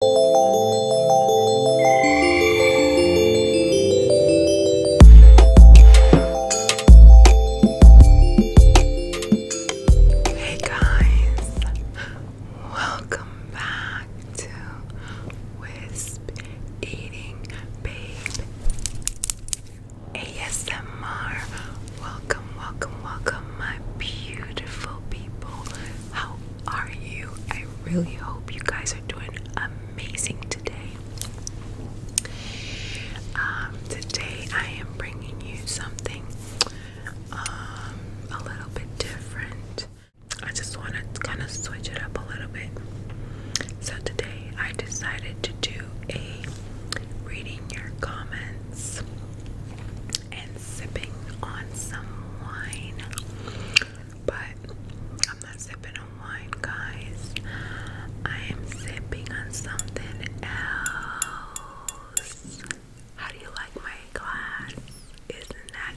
Hey guys, welcome back to Wisp Eating Babe ASMR. Welcome, welcome, welcome, my beautiful people how are you? I really hope you guys are doing amazing today. Um, today I am bringing you something um, a little bit different. I just want to kind of switch it up a little bit. So today I decided to do a reading your comments and sipping on some wine. But I'm not sipping on wine, guys. I am sipping on something else. How do you like my glass? Isn't that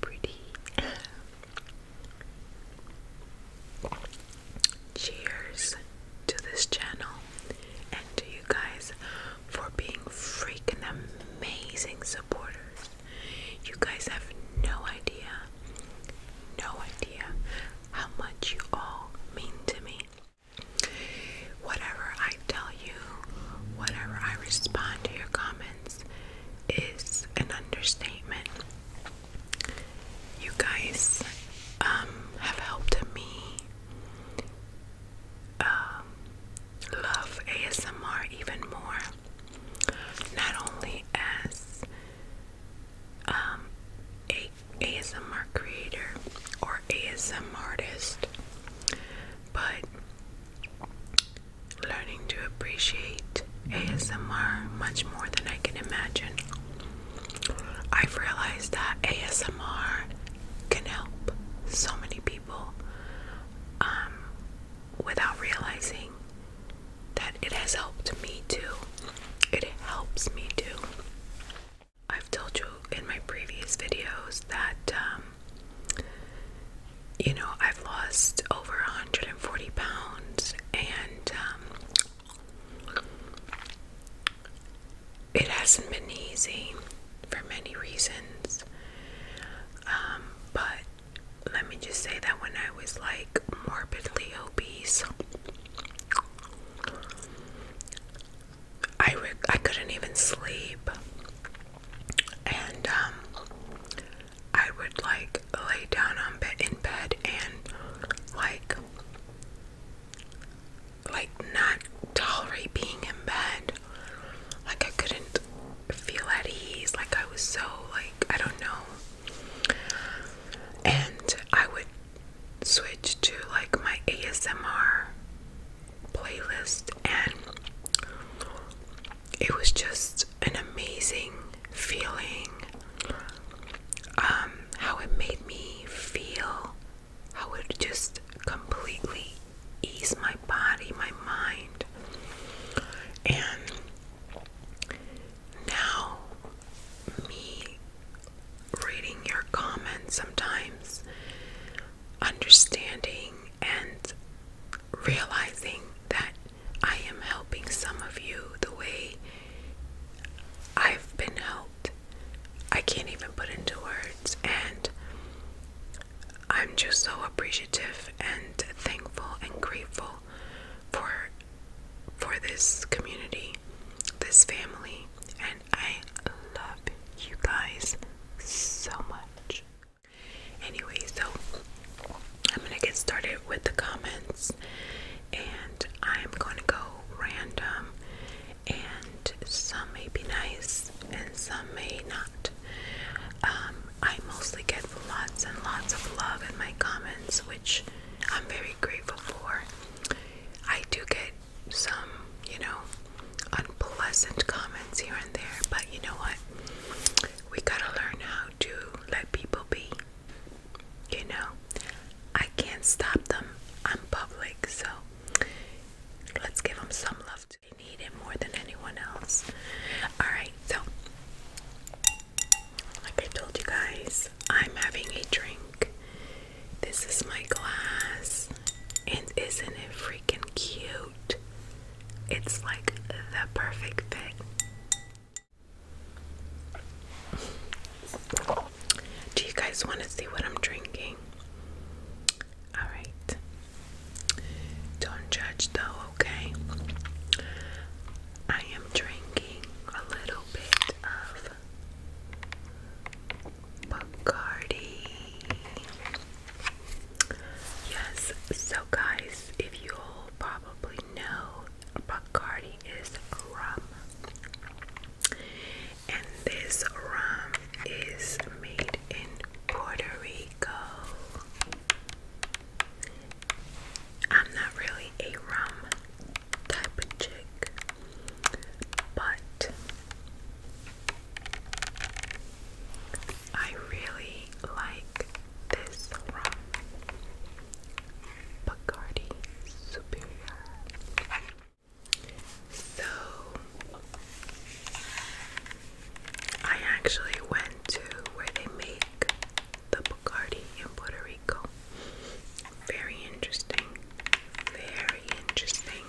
pretty? Cheers to this channel and to you guys for being freaking amazing supporters. You guys have no idea, no idea how much you all mean to me. Whatever I tell you, whatever I respond to your comments is an understatement. You guys um, have helped me um, love ASMR even more. Not only as um, a ASMR creator or ASM artist, but learning to appreciate ASMR much more than I can imagine. I've realized that ASMR can help so many people um, without realizing that it has helped me too. It helps me too. I've told you in my previous videos that, um, you know, I've lost over 140 pounds and um, it hasn't been easy for many reasons. Um, but let me just say that when I was like morbidly obese, I, I couldn't even sleep. And um, I would like lay down on bed in bed and like like not tolerate being in bed. Like I couldn't feel at ease. Like I was so like I don't know. And I would switch to like my ASMR playlist and it was just an amazing feeling um how it made me feel I would just completely ease my body, my mind. And now, me reading your comments sometimes, understanding and realizing that I am helping some of you the way I've been helped. I can't even put into words. And I'm just so appreciative and thankful and grateful for for this community, this family, and I love you guys so much. Anyway, so I'm gonna get started with the comments and I'm gonna go random and some may be nice and some may not. Um, I mostly get lots and lots of love in my comments, which I'm very grateful for. I do get some, you know, unpleasant comments here and there, but you know what? We gotta learn how to let people be. You know, I can't stop them. I'm public, so Let's give them some love. They need it more than anyone else. Alright, so like I told you guys, I'm having a drink. This is my glass. And isn't it freaking cute? It's like the perfect fit. Do you guys want to see what I'm drinking? Alright. Don't judge though, okay? I am drinking a little bit of Bacardi. Yes, so guys, if you all probably know, Bacardi is rum and this rum is made in Puerto Rico. I'm not really a rum type of chick, but I really like this rum. Bacardi Superior. So I actually went to where they make the Bacardi in Puerto Rico. Very interesting. Very interesting.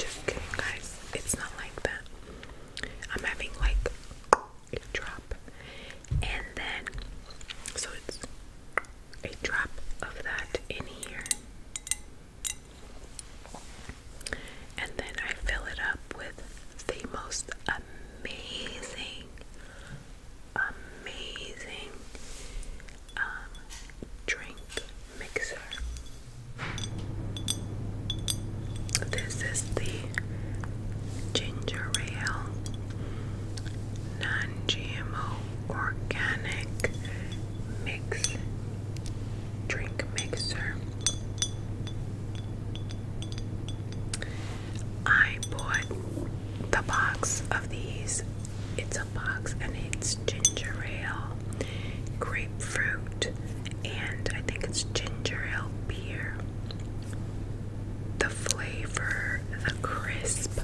Just kidding, guys. It's not like that. I'm having like a drop, and then so it's a drop of that in here, and then I fill it up with the most amazing, amazing um, drink mixer. This is the ginger ale, non-GMO organic mix drink mixer. I bought the box of these. It's a box and it's ginger ale, grapefruit, and I think it's ginger ale beer. The flavor, the crisp,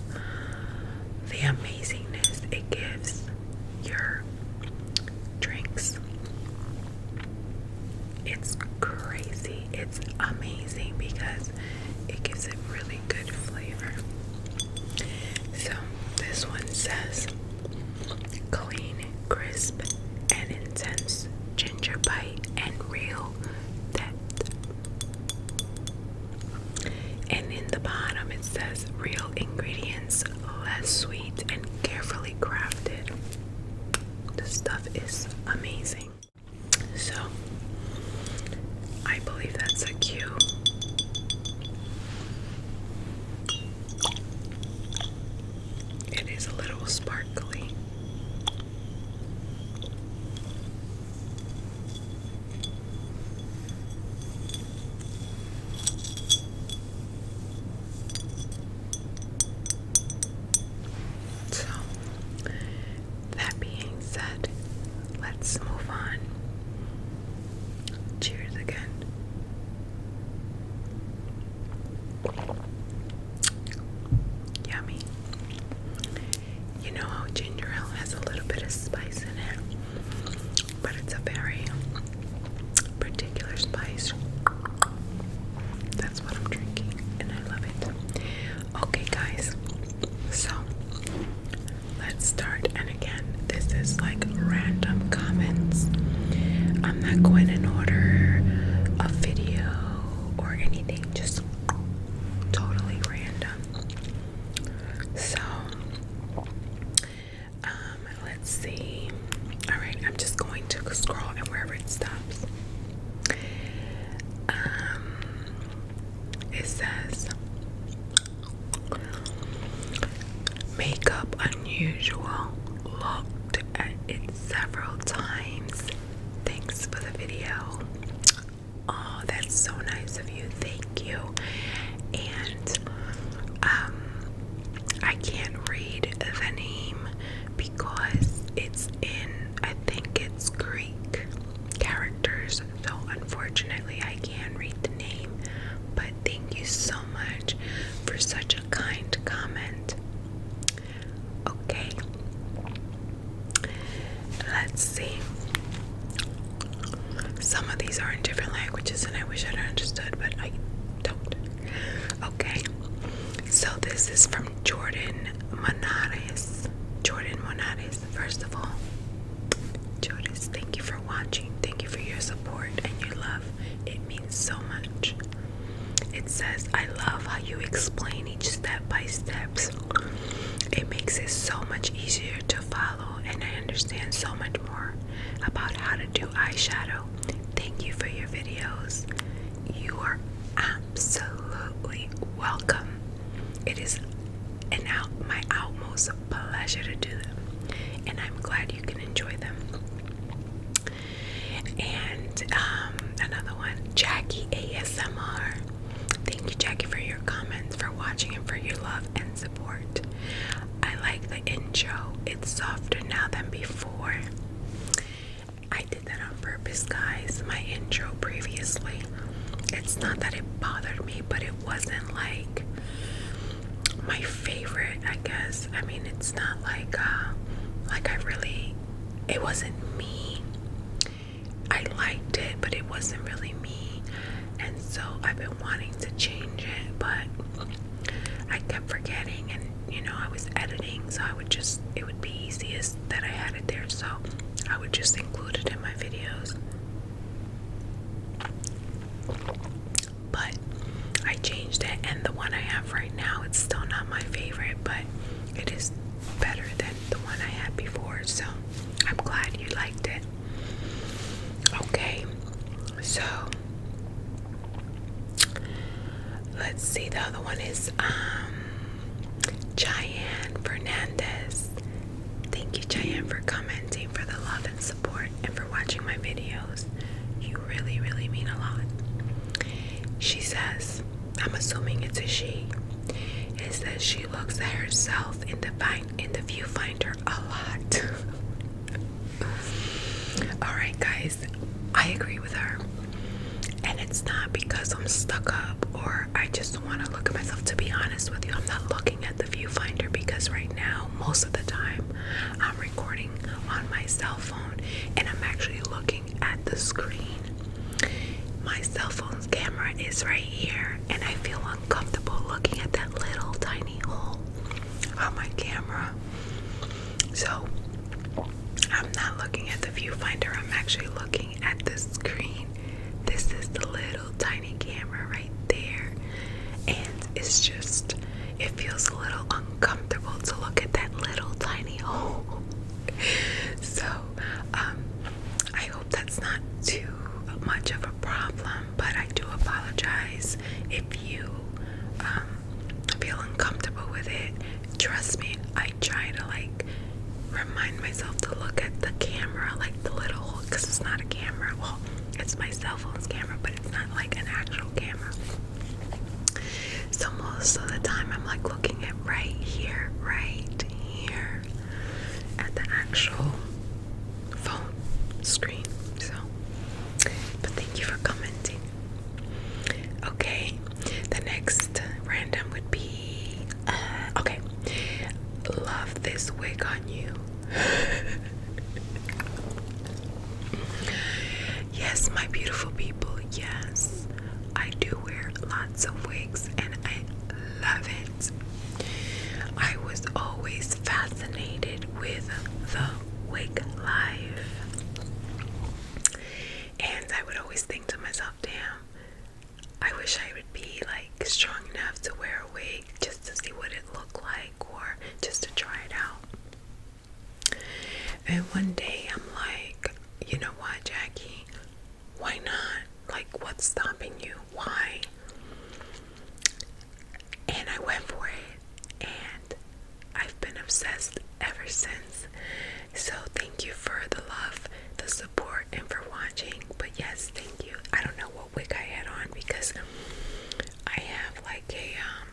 the amazingness it gives your drinks. It's crazy. It's amazing because it gives it really good flavor. So, this one says Clean, crisp, and intense ginger bite and real depth. And in the bottom it says real ingredients, less sweet, and carefully crafted. This stuff is amazing. So, I believe that's a cue. It is a little sparkly. So, that being said, let's move on. Cheers again. Yummy. You know how ginger ale has a little bit of spice in it, but it's a very particular spice. That's what I'm drinking, and I love it. Okay, guys, so let's start. And again, this is like random comments. I'm not going in order a video or anything, just totally random. So, um, let's see. All right, I'm just going to scroll and wherever it stops. Um, it says, Makeup Unusual looked at it several times. Thanks for the video. Oh, that's so nice of you. Thank you. And um I can't read the name because it's in I think it's Greek characters. So unfortunately I can't read the name, but thank you so much for such a kind comment. Okay, let's see. Some of these are in different languages, and I wish I'd understood, but I don't. Okay, so this is from Jordan Monares. Jordan Monares, first of all. Jordan, thank you for watching. Thank you for your support and your love it means so much. It says, I love how you explain each step by steps. It makes it so much easier to follow, and I understand so much more about how to do eyeshadow. Thank you for your videos. You are absolutely welcome. It is an out my utmost pleasure to do them, and I'm glad you can enjoy them. And um, another one, Jackie ASMR. Thank you, Jackie, for your comments, for watching, and for your love and support. I like the intro, it's softer now than before. I did that on purpose, guys. My intro previously, it's not that it bothered me, but it wasn't like my favorite, I guess. I mean, it's not like uh, like I really. It wasn't me. I liked it, but it wasn't really me. And so I've been wanting to change it, but I kept forgetting. And you know, I was editing, so I would just. It would be easiest that I had it there, so I would just include it in my videos but I changed it and the one I have right now it's still not my favorite but it is better than the one I had before so I'm glad you liked it okay so let's see the other one is um Cheyenne Fernandez thank you Cheyenne for commenting for the love and support and for watching my videos. You really, really mean a lot. She says, I'm assuming it's a she. It says she looks at herself in the in the viewfinder a lot. Alright guys, I agree with her. And it's not because I'm stuck up or I just want to look at myself. To be honest with you, I'm not looking at the viewfinder because right now, most of the time, I'm recording on my cell phone and I'm actually looking at the screen. My cell phone's camera is right here, and I feel uncomfortable looking at that little tiny hole on my camera. So I'm not looking at the viewfinder, I'm actually looking at the screen. This is the little tiny camera right there. And it's just, it feels a little uncomfortable to look at that little tiny hole. so, um, I hope that's not too much of a problem, but I do apologize if you um, feel uncomfortable with it. Trust me, I try to like remind myself to look at the camera, like the little hole, because it's not a camera. Well, it's my cell phone's camera, but it's not like an actual camera. So most of the time I'm like looking at right here, right here at the actual phone screen. So but thank you for commenting. Okay, the next random would be uh, okay. Love this wig on you yes, my beautiful people, yes, I do wear lots of wigs and I love it. I was always fascinated with the wig life, and I would always think to myself, damn. I wish I would be like strong enough to wear a wig just to see what Look like or just to try it out. And one day I'm like, you know what, Jackie? Why not? Like, what's stopping you? Why? And I went for it, and I've been obsessed ever since. So, thank you for the love, the support, and for watching. But, yes, thank you. I don't know wig I had on because I have like a um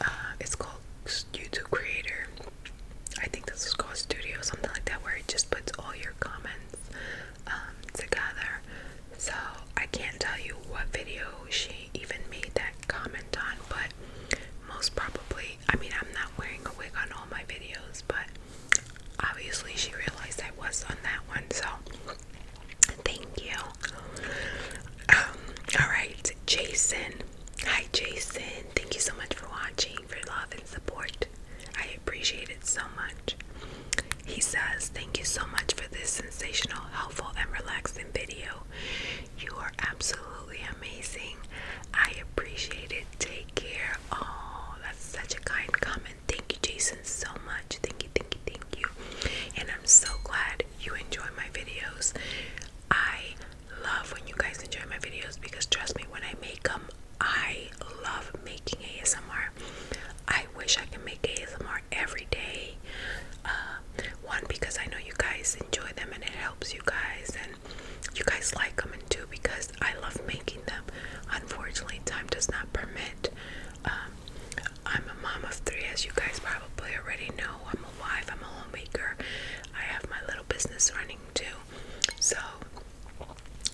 uh it's called YouTube creator. I think this is called studio something like that where it just puts all your comments um, together. So I can't tell you what video she even made that comment on, but most probably I mean I'm not wearing a wig on all my videos, but obviously she realized I was on that one, so Thank you. Um, Alright, Jason. Hi, Jason. Thank you so much for watching, for love and support. I appreciate it so much. He says, Thank you so much for this sensational, helpful, and relaxing video. You are absolutely amazing. I appreciate it. Take care. Oh, that's such a kind comment thank you, Jason, so much. Thank you, thank you, thank you. And I'm so glad you enjoy my videos. I love when you guys enjoy my videos because trust me, when I make them, I love making ASMR. I wish I could make ASMR every day. Uh, one, because I know you guys enjoy them and it helps you guys, and you guys like them, too. because I love making them. Unfortunately, time does not permit um, I'm a mom of three, as you guys probably already know. I'm a wife, I'm a homemaker, I have my little business running too. So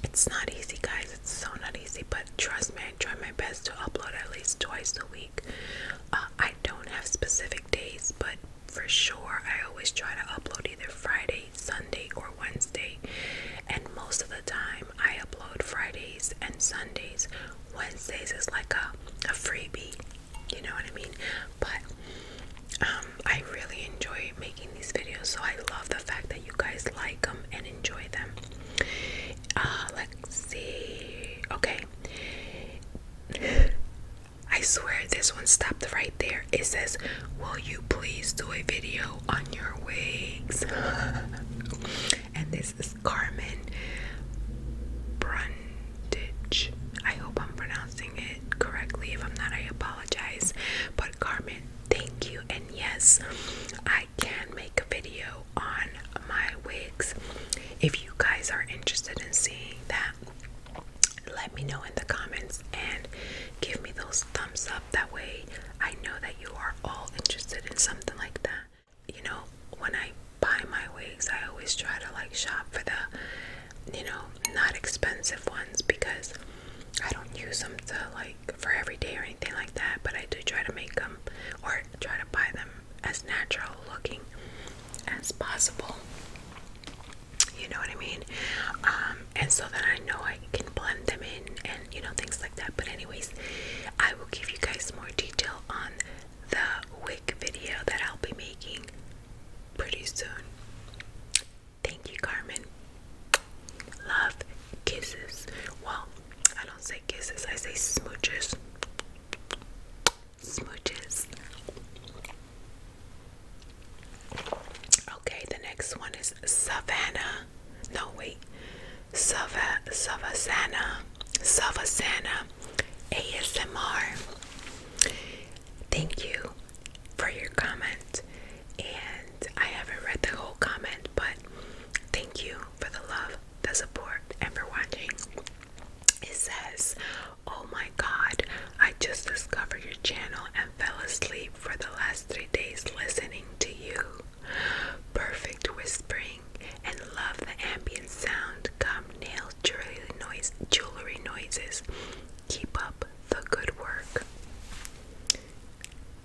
it's not easy, guys. It's so not easy, but trust me, I try my best to upload at least twice a week. Uh, I don't have specific days, but for sure, I always try to upload either Friday, Sunday, or Wednesday, and most of the time I upload Fridays and Sundays. Wednesdays is like a, a freebie, you know what I mean? But um, I really enjoy making these videos, so I love the fact that you guys like them and enjoy them. Uh, let's see. Okay. I swear this one stopped right there. It says, Will you please do a video on your wigs? and this is Carmen Brundage. I hope I'm pronouncing it correctly. If I'm not, I apologize. But Carmen, thank you. And yes, I can make a video on my wigs. If you guys are interested in seeing that, let me know in the comments and give me those thumbs up. That way, I know that you are all interested in something like that. You know, when I buy my wigs, I always try to like shop for the, you know, not expensive ones because I don't use them to like for every day or anything like that, but I do try to make them or try to buy them as natural looking as possible. You know what I mean? Um, and so then I know I can blend them in and you know things like that. But anyways, I will give you guys more detail on the wig video that I'll be making pretty soon. Thank you, Carmen. Love kisses. Well, I don't say kisses, I say smooches. Smooches. Okay, the next one is Savannah no wait, Sava Savasana, Savasana ASMR. Thank you for your comment, and I haven't read the whole comment, but thank you for the love, the support, and for watching. It says, Oh my god, I just discovered your channel and fell asleep for the last three days listening to you. Perfect whispering and love the ambient sound, Come, nail, jewelry, jewelry noises. Keep up the good work.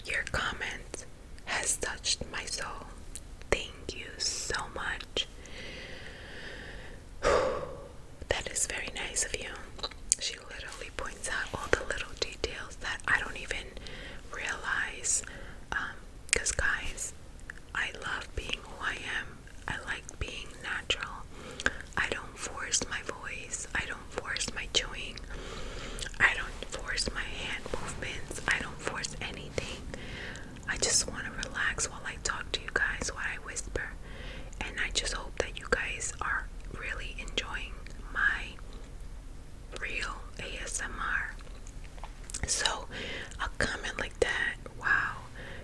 Your comment has touched my soul. Thank you so much. that is very nice of you. She literally points out all the little details that I don't even realize, um, cause guys, I love being who I am. I like being natural. I don't force my voice. I don't force my chewing. I don't force my hand movements. I don't force anything. I just want to relax while I talk to you guys, while I whisper. And I just hope that you guys are really enjoying my real ASMR. So a comment like that, wow,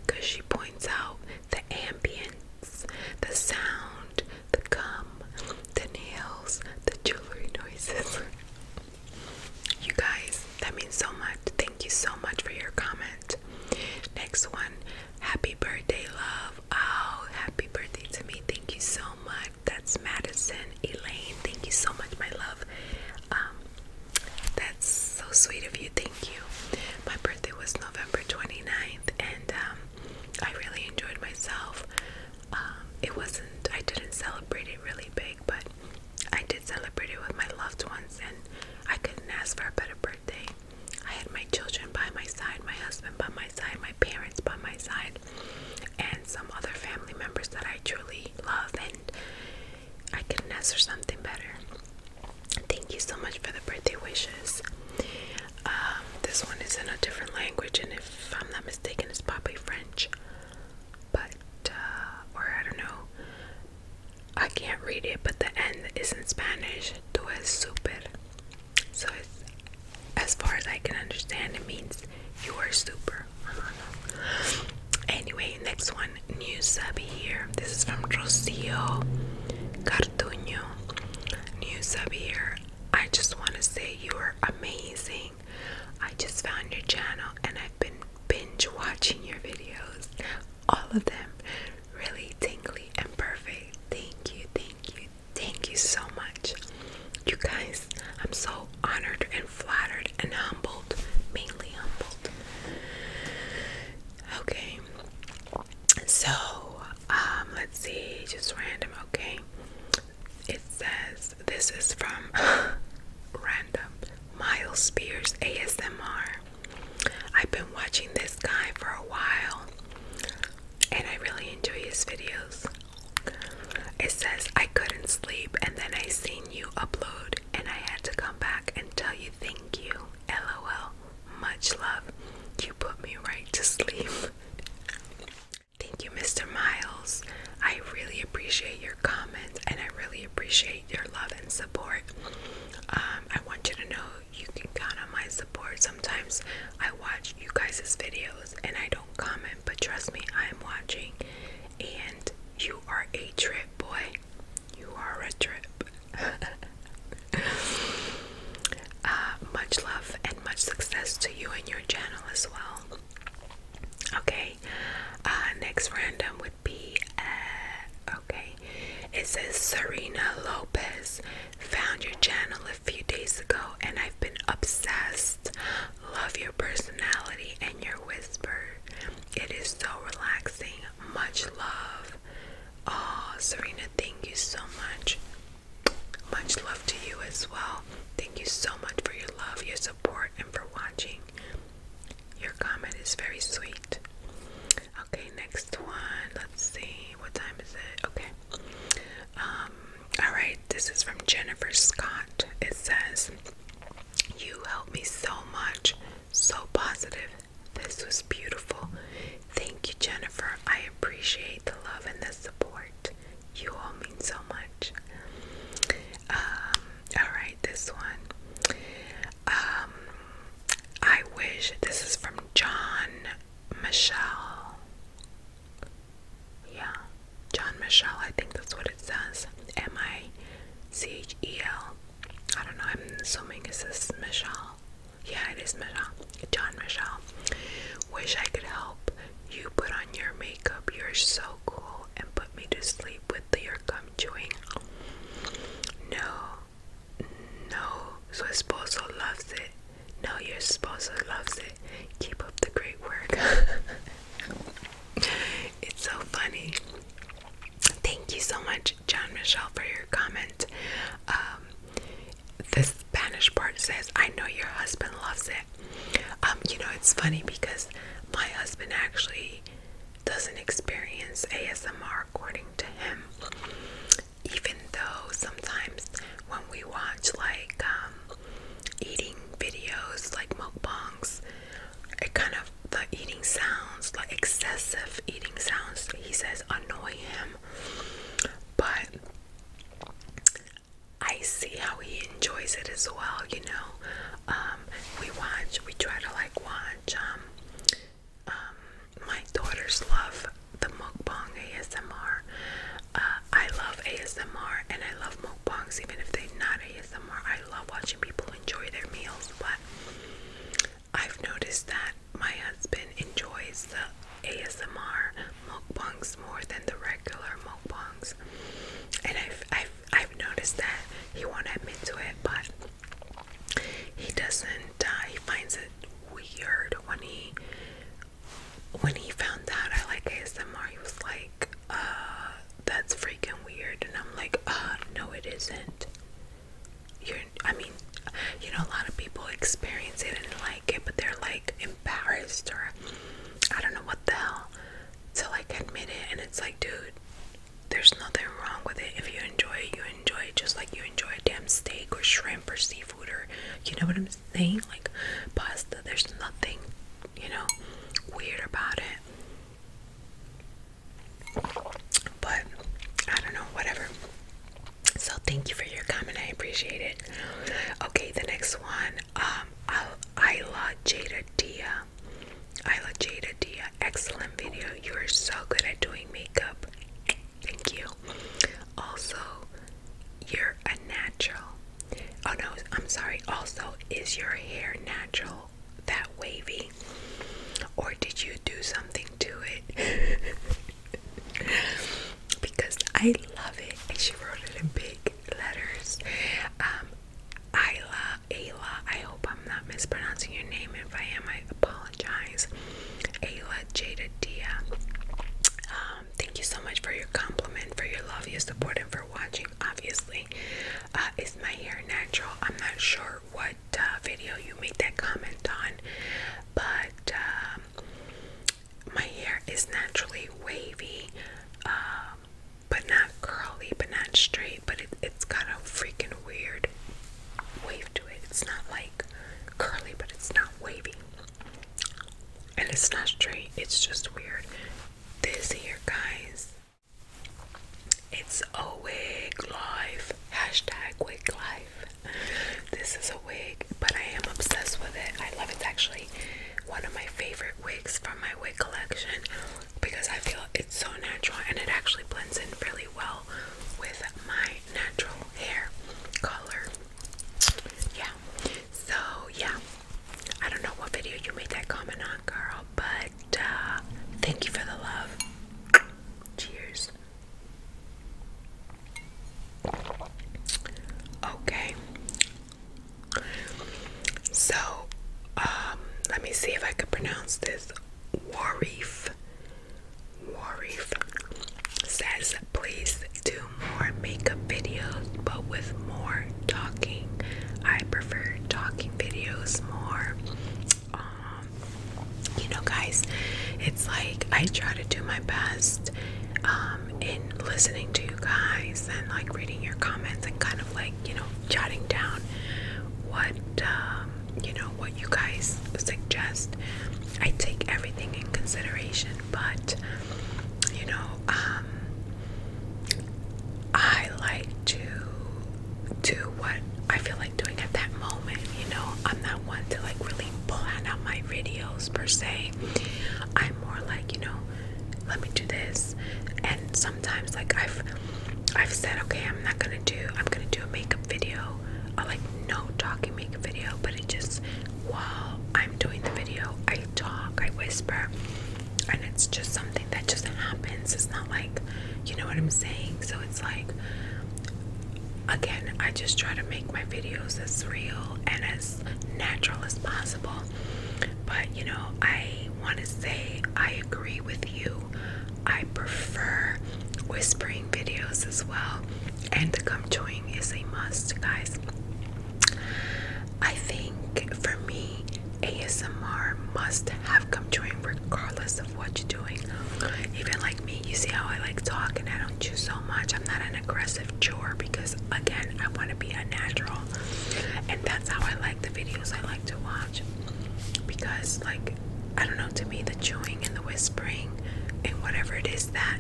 because she points out the ambience, the sound, the gum, the nails, the jewelry noises. you guys, that means so much. Thank you so much for your comment. Next one, happy birthday, love. Oh, happy birthday to me. Thank you so much. That's Madison Elaine. Thank you so much, my love. Um, that's so sweet of you. Thank you. My birthday was November 29th, and um, I really enjoyed myself. Um, it wasn't, I didn't celebrate it really big, but I did celebrate it with my loved ones, and I couldn't ask for a better birthday. I had my children by my side, my husband by my side, my parents by my side, and some other family members that I truly love and I can answer something better. Thank you so much for the birthday wishes. Um, this one is in a different language, and if I'm not mistaken, it's probably French. But, uh, or I don't know, I can't read it, but the end is in Spanish. Tu es super so as far as I can understand, it means you are super. anyway, next one, new subby here. This is from Rocio Cartuño. New subby here. I just want to say you are amazing. I just found your channel and I've been binge watching your videos. All of them really tingly and perfect. Thank you, thank you, Thank you so much. You guys, I'm so honored and flattered and humbled, mainly humbled. Okay. So, um, let's see, just random, okay. It says this is from random Miles Spears ASMR. I've been watching this guy for a while and I really enjoy his videos. It says, I couldn't sleep, and then I seen you upload, and I had to come back and tell you thank you. LOL. Much love. You put me right to sleep. thank you, Mr. Miles. I really appreciate your comment, and I really appreciate your love and support. Um, I want you to know you can count on my support. Sometimes I watch you guys' videos, and I don't comment, but trust me, I am watching. And you are a trip, boy. You are a trip. Uh, much love and much success to you and your channel as well. Okay, uh, next random would be, uh, okay, it says Serena Lopez. Found your channel a few days ago and I've been obsessed. Love your personality and your whisper. It is so relaxing. Much love. Oh, Serena, thank you so much. Much love to you as well. Thank you so much for your love, your support, and for watching. Your comment is very sweet. Okay, next one. Let's see. What time is it? Okay. Um, all right, this is from Jennifer Scott. It says, You helped me so much, so positive. This was beautiful. Thank you, Jennifer. I appreciate the love and the support. You all mean so much. Um, all right, this one. Um, I wish this is from John Michelle yeah, John Michelle, I think that's what it says. M I C H E L. I don't know, I'm assuming it's Michelle. Yeah, it is Michelle. John Michelle. Wish I could help you put on your makeup. You're so cool and put me to sleep with your gum chewing. No, no, su esposo loves it. No, your spouse loves it. Keep up the great work. it's so funny. Thank you so much, John Michelle, for your comment. Um, the Spanish part says, I know your husband loves it. Um, you know, it's funny because my husband actually doesn't experience ASMR according to him even though sometimes when we watch like um, eating videos like mukbangs, it kind of the eating sounds, like excessive eating sounds, he says annoy him. But I see how he enjoys it as well, you know. Um, we watch, we try to like watch um, um my daughters love the mukbang ASMR. Uh, I love ASMR and I love mukbangs, even if they're not ASMR. I love watching people enjoy their meals, but I've noticed that my husband enjoys the ASMR mukbangs more than the regular mukbangs, and I've I've I've noticed that he won't admit to it, but he doesn't. Uh, he finds it weird when he when he found out I like ASMR, he was like, uh, that's freaking weird. And I'm like, uh, no, it isn't. You're, I mean, you know, a lot of people experience it and like it, but they're like embarrassed or I don't know what the hell to like admit it. And it's like, dude, there's nothing wrong with it. If you enjoy it, you enjoy it just like you enjoy a damn steak or shrimp or seafood or, you know what I'm saying." I'm saying? Like pasta, there's nothing, you know, weird about it. But I don't know, whatever. So thank you for your comment. I appreciate it. Okay, the next one. Um Isla Jada Dia. Isla Jada Dia. Excellent video. You are so good at doing makeup. Thank you. Also, you're a natural. Oh no, I'm sorry. Also, is your hair natural that wavy? Or did you do something to it? because I love it. And she wrote it in big letters. Um, Ayla, Ayla, I hope I'm not mispronouncing your name. If I am, I apologize. Ayla Jada Dia. Um, um, thank you so much for your compliment, for your love, your support, and for watching. Obviously, uh, is my hair natural? I'm not sure what uh, video you made that comment on, but um, my hair is naturally wavy, um, but not curly, but not straight. But it, it's got a freaking weird wave to it. It's not like curly, but it's not wavy. And it's not straight, it's just weird. This here, guys, it's a wig life. Hashtag wig life. This is a wig, but I am obsessed with it. I love it. It's actually one of my favorite wigs from my wig collection because I feel it's so natural and it actually blends in really well with my natural hair color. Yeah. So yeah. I don't know what video you made that comment on, girl, but uh, thank you for the love. Cheers. Okay. So, um, let me see if I could pronounce this. Warif Warif says, please do more makeup videos, but with more talking. I prefer talking videos more. Um, you know, guys, it's like I try to do my best um, in listening to you guys and like reading your comments and kind of like, you know, jotting down what, um, you know, what you guys suggest. I take everything in consideration, but you know, um, I like to do what I feel like doing at that moment. You know, I'm not one to like really plan out my videos per se. I'm more like, you know, let me do this. And sometimes, like I've, I've said, okay, I'm not gonna do, I'm gonna do a makeup video, a like no talking makeup video, but it just while I'm doing the video, I talk, I whisper, and it's just something that just happens. It's not like, you know what I'm saying? So it's like, again, I just try to make my videos as real and as natural as possible. But, you know, I want to say I agree with you. I prefer whispering videos as well and the gum chewing is a must, guys. I think for me, ASMR must have gum chewing regardless of what you're doing. Even like me, you see how I like talk and I don't chew so much. I'm not an aggressive chewer because, again, I want to be a natural, and that's how I like the videos I like to watch because, like, I don't know, to me, the chewing and the whispering and whatever it is that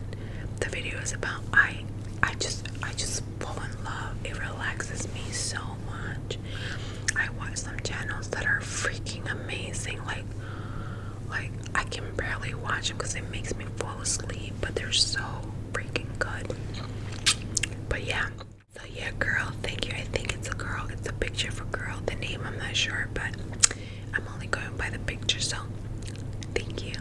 the video is about. I I just I just fall in love. It relaxes me so much. I watch some channels that are freaking amazing. Like like I can barely watch them because it makes me fall asleep. But they're so freaking good. But yeah. So yeah, girl. Thank you. I think it's a girl. It's a picture of a girl. The name I'm not sure, but I'm only going by the picture, so thank you.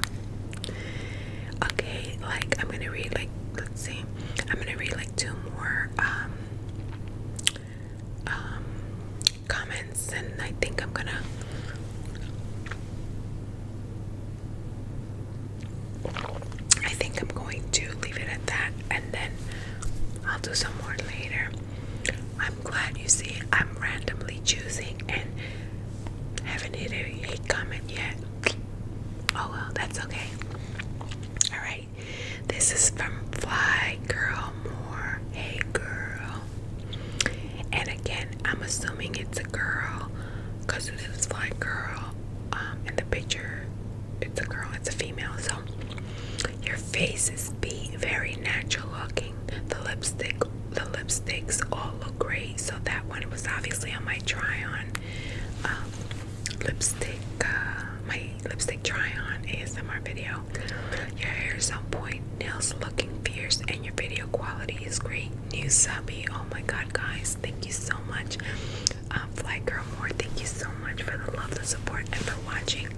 Okay, like I'm gonna read like let's see, I'm gonna read like two more um um comments and I think I'm gonna I think I'm going to leave it at that and then I'll do some more later. I'm glad you see I'm randomly choosing and haven't hit a hate comment yet. Oh well, that's okay. Alright, this is from Fly Girl Moore. Hey girl. And again, I'm assuming it's a girl because it is Fly Girl. Um, in the picture, it's a girl, it's a female. So your face is be very natural looking. The lipstick, the lipsticks all look great. So that one was obviously on my try on um, lipstick, uh, my lipstick try on ASMR video. Your hair is on point, nails looking fierce, and your video quality is great. New subby, oh my god, guys, thank you so much. Um, Girl Moore, thank you so much for the love, the support, and for watching.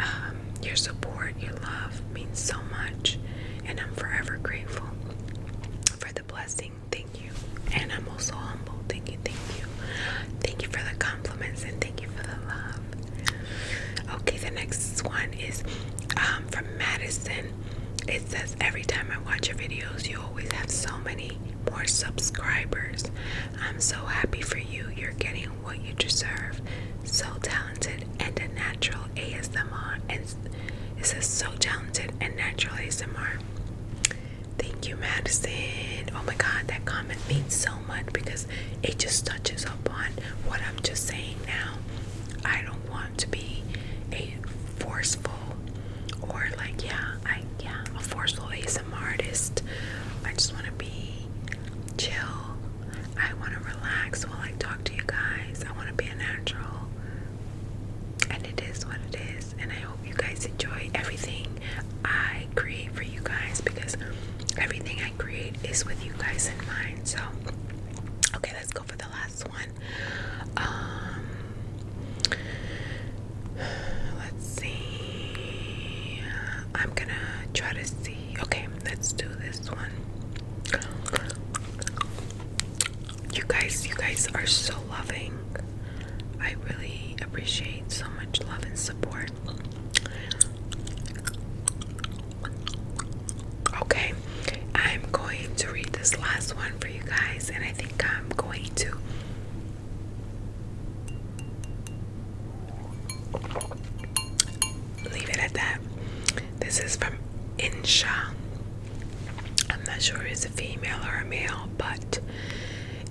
Um, your support, your love means so much, and I'm forever grateful for the blessing. Thank you. And I'm also humble. Thank you, thank you. Thank you for the compliments and thank you for the love. Okay, the next one is um, from Madison. It says, Every time I watch your videos, you always have so many more subscribers. I'm so happy for you. You're getting what you deserve. So talented and a natural ASMR. And it says so talented and natural ASMR. Thank you, Madison. Oh my God, that comment means so much because it just touches upon what I'm just saying now. I don't want to be a forceful or like yeah, I yeah, a forceful ASMR artist. I just want to be chill. I want to relax while I talk to you guys. I want to be a natural. And it is what it is. And I hope you guys enjoy everything I create for you guys because everything I create is with you guys in mind. So, okay, let's go for the last one. Um, let's see. I'm gonna try to see Okay, let's do this one. You guys, you guys are so loving. I really appreciate so much love and support. Okay, I'm going to read this last one for you guys, and I think I'm going to leave it at that. This is from Insha. I'm not sure if it's a female or a male, but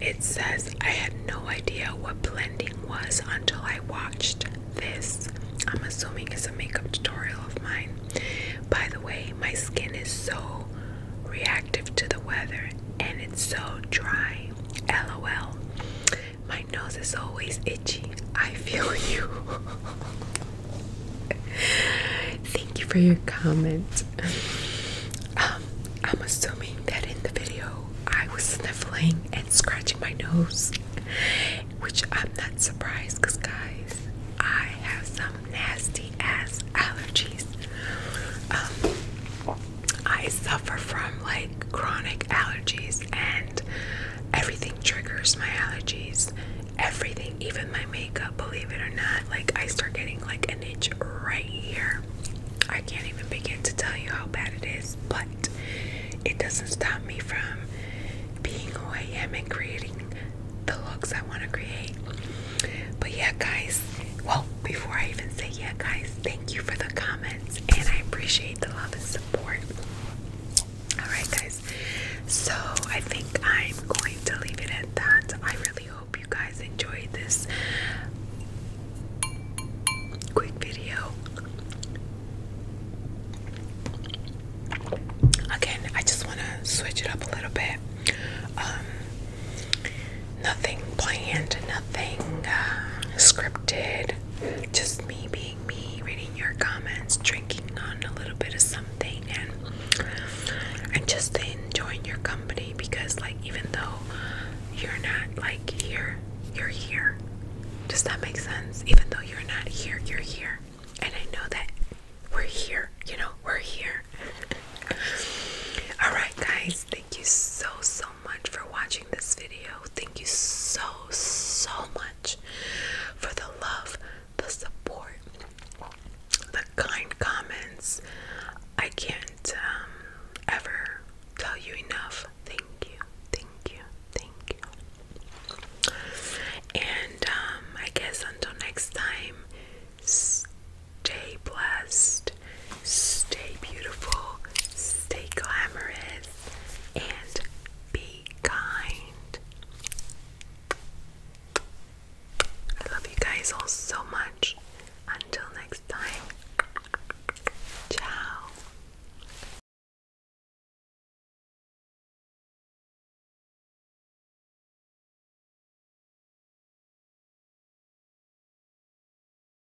it says, I had no idea what blending was until I watched this. I'm assuming it's a makeup tutorial of mine. By the way, my skin is so reactive to the weather and it's so dry. LOL. My nose is always itchy. I feel you. Thank you for your comment. Um, I'm assuming that in the video I was sniffling and scratching my nose, which I'm not surprised because, guys, I have some nasty ass allergies. Um, I suffer from like chronic allergies, and everything triggers my allergies. Everything, even my makeup, believe it or not. Like, I start getting like an itch right here. I can't even begin to tell you how bad it is, but it doesn't stop me from being who I am and creating the looks I want to create. But yeah, guys, well, before I even say yeah, guys, thank you for the comments, and I appreciate the love and support. Alright, guys. So I think I'm going to leave it at that. I really hope you guys enjoyed this quick video. Again, I just want to switch it up a little bit. Um, nothing planned, nothing uh, scripted just me being me, reading your comments, drinking on a little bit of something, and and just enjoying your company because, like, even though you're not like here, you're here. Does that make sense? Even though you're not here, you're here, and I know that we're here. You know, we're here. All right, guys. Thank you so so much for watching this video. Thank you so, so much for the love, the support, the kind comments. I can't um, ever tell you enough. Thank you, thank you, thank you. And um, I guess until next time, stay blessed, stay beautiful, stay glamorous, and be kind. I love you guys all so much. Until next time, ciao.